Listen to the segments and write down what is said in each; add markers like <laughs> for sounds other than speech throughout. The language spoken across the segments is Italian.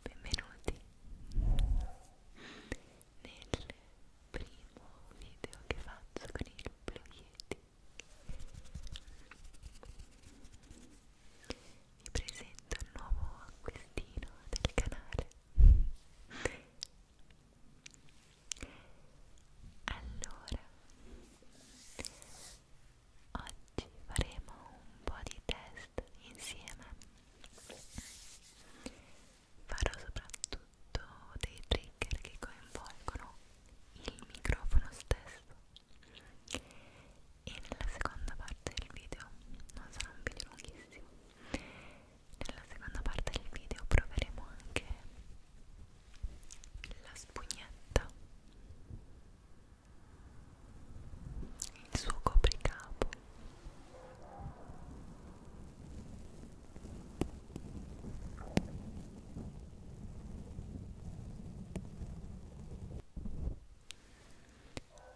benvenuti nel primo video che faccio con il Pluieti vi presento il nuovo acquistino del canale allora Oggi faremo un po' di test insieme. Farò soprattutto dei trigger che coinvolgono il microfono stesso. E nella seconda parte del video, non sarà un video lunghissimo, nella seconda parte del video proveremo anche la spugnetta il suo copricapo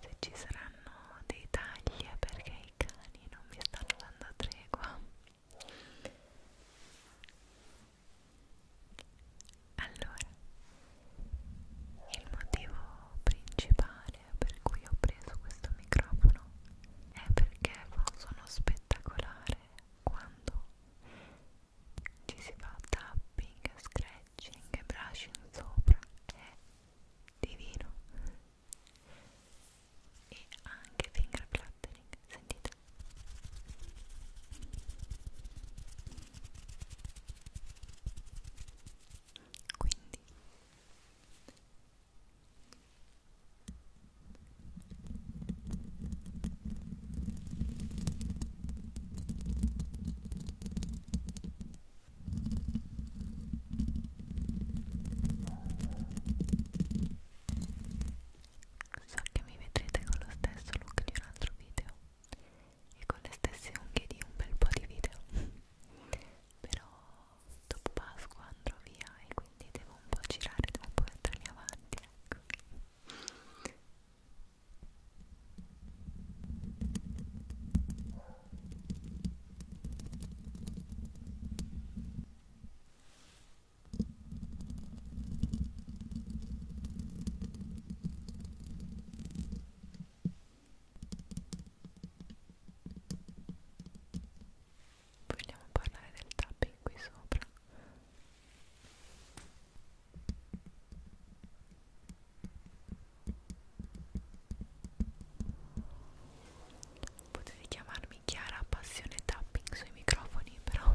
se ci saranno dei tagli è perché i cani non mi stanno dando tregua allora, il motivo principale per cui ho preso questo microfono è perché fa un suono spettacolare quando ci si fa tapping, scratching e brushing sopra, è divino. E anche finger fluttering, sentite quindi So che mi vedrete con lo stesso look di un altro video e con le stesse unghie di un bel po' di video <laughs> però dopo Pasqua andrò via e quindi devo un po' girare, devo un po' mettermi avanti ecco Vogliamo parlare del tapping qui sopra. Potete chiamarmi Chiara Passione Tapping sui microfoni, però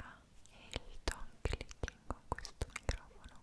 Ah, e il ton clicking con questo microfono.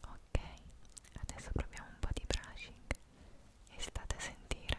Ok, adesso proviamo un po' di brushing e state a sentire.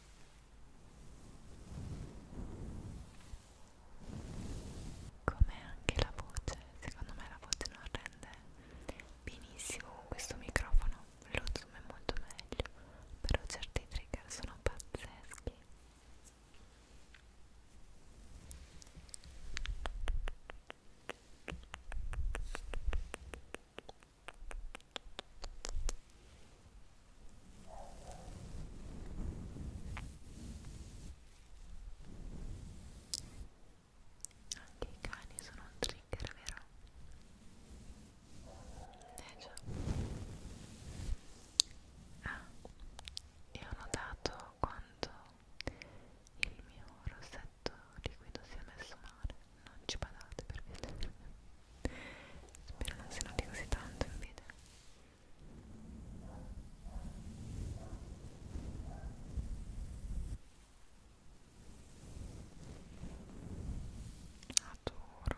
come anche la voce secondo me la voce non rende benissimo con questo microfono lo zoom è molto meglio però certi trigger sono pazzeschi anche i cani sono un trigger, vero? Eh già. Ah, e ho notato quanto il mio rossetto liquido si è messo male non ci badate per vedere spero non si noti così tanto in video adoro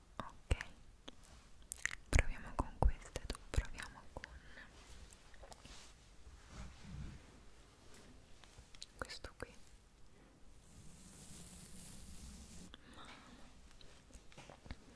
ok proviamo con queste tu proviamo con questo qui Mamma. ok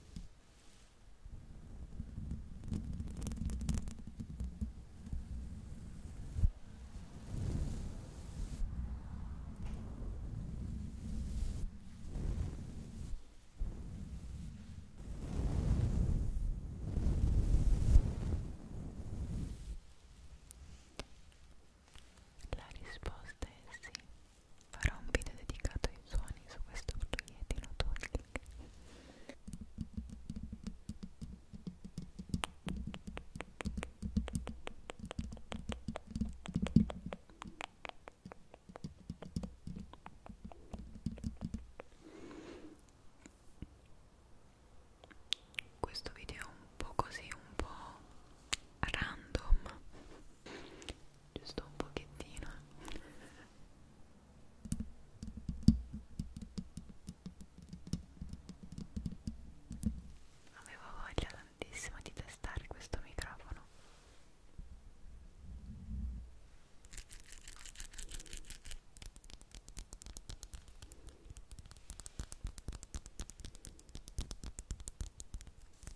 La risposta è sì farò un video dedicato ai suoni su questo proiettino Tolling questo video è un po' così, un po' random giusto un pochettino avevo voglia tantissimo di testare questo microfono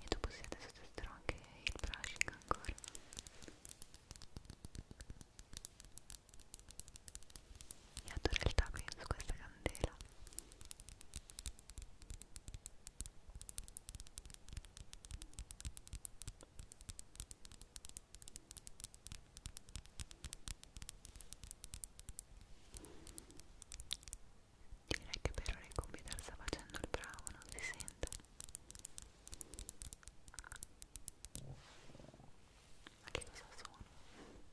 e dopo sì adesso testerò anche il brushing ancora e adoro il tapping su questa candela Direi che per ora il computer sta facendo il bravo, non si sente. Ma che cosa sono? Ecco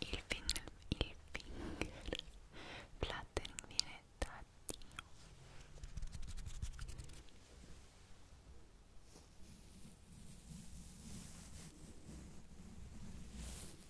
Il finger, il finger flattering viene da Dio.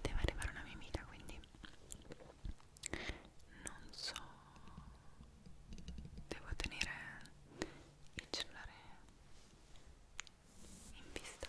Deve arrivare una mia amica, quindi non so. Devo tenere il cellulare in vista.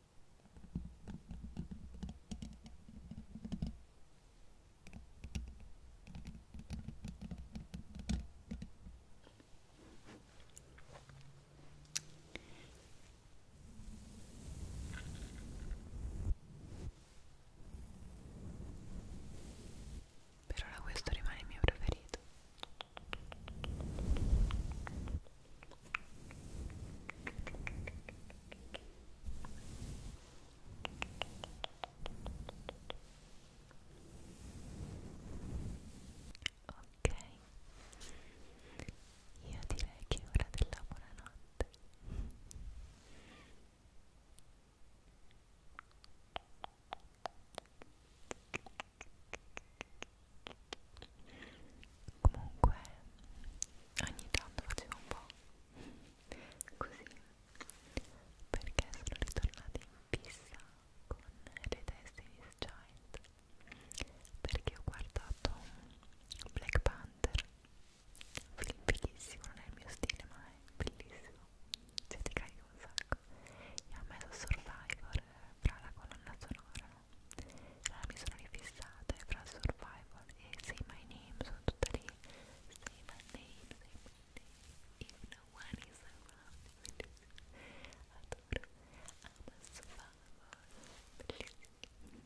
Per ora questo rimane il mio preferito. Ok, io direi che è ora della buonanotte comunque ogni tanto facevo un po' così perché sono ritornata in fissa con le Destiny's Giant perché ho guardato Black Panther un film bellissimo, non è il mio stile ma è bellissimo cioè ti carica un sacco e ha messo Survivor eh, fra la colonna sonora allora ah, mi sono rifissata fra Survival e Say My Name, sono tutta lì Say My Name, Say My Name, If No One Is Around Adoro, amo Survival, bellissimo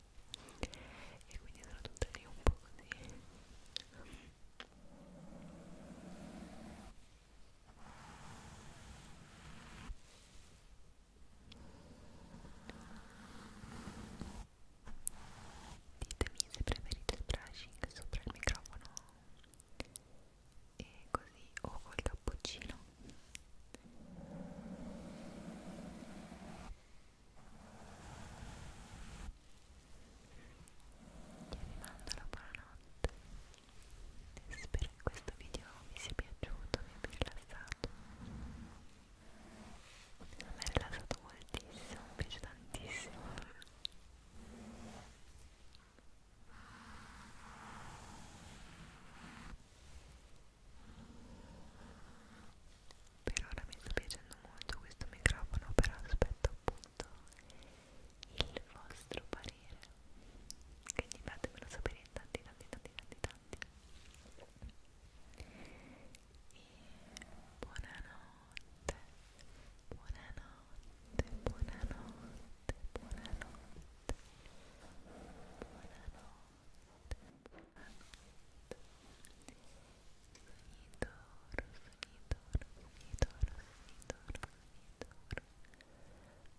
E quindi sono tutta lì un po' così Ditemi se preferite il brushing sopra il microfono e così o col cappuccino. Vi mando la buonanotte. Spero che questo video vi sia piaciuto, vi abbia rilassato a me è rilassato moltissimo, mi piace tantissimo per ora mi sta piacendo molto questo microfono però aspetto appunto il vostro parere quindi fatemelo sapere in tanti tanti tanti tanti, tanti stati e buonanotte buonanotte buonanotte buonanotte buonanotte buonanotte Sonidoro, sonidoro, sonidoro, sonidoro, sonidoro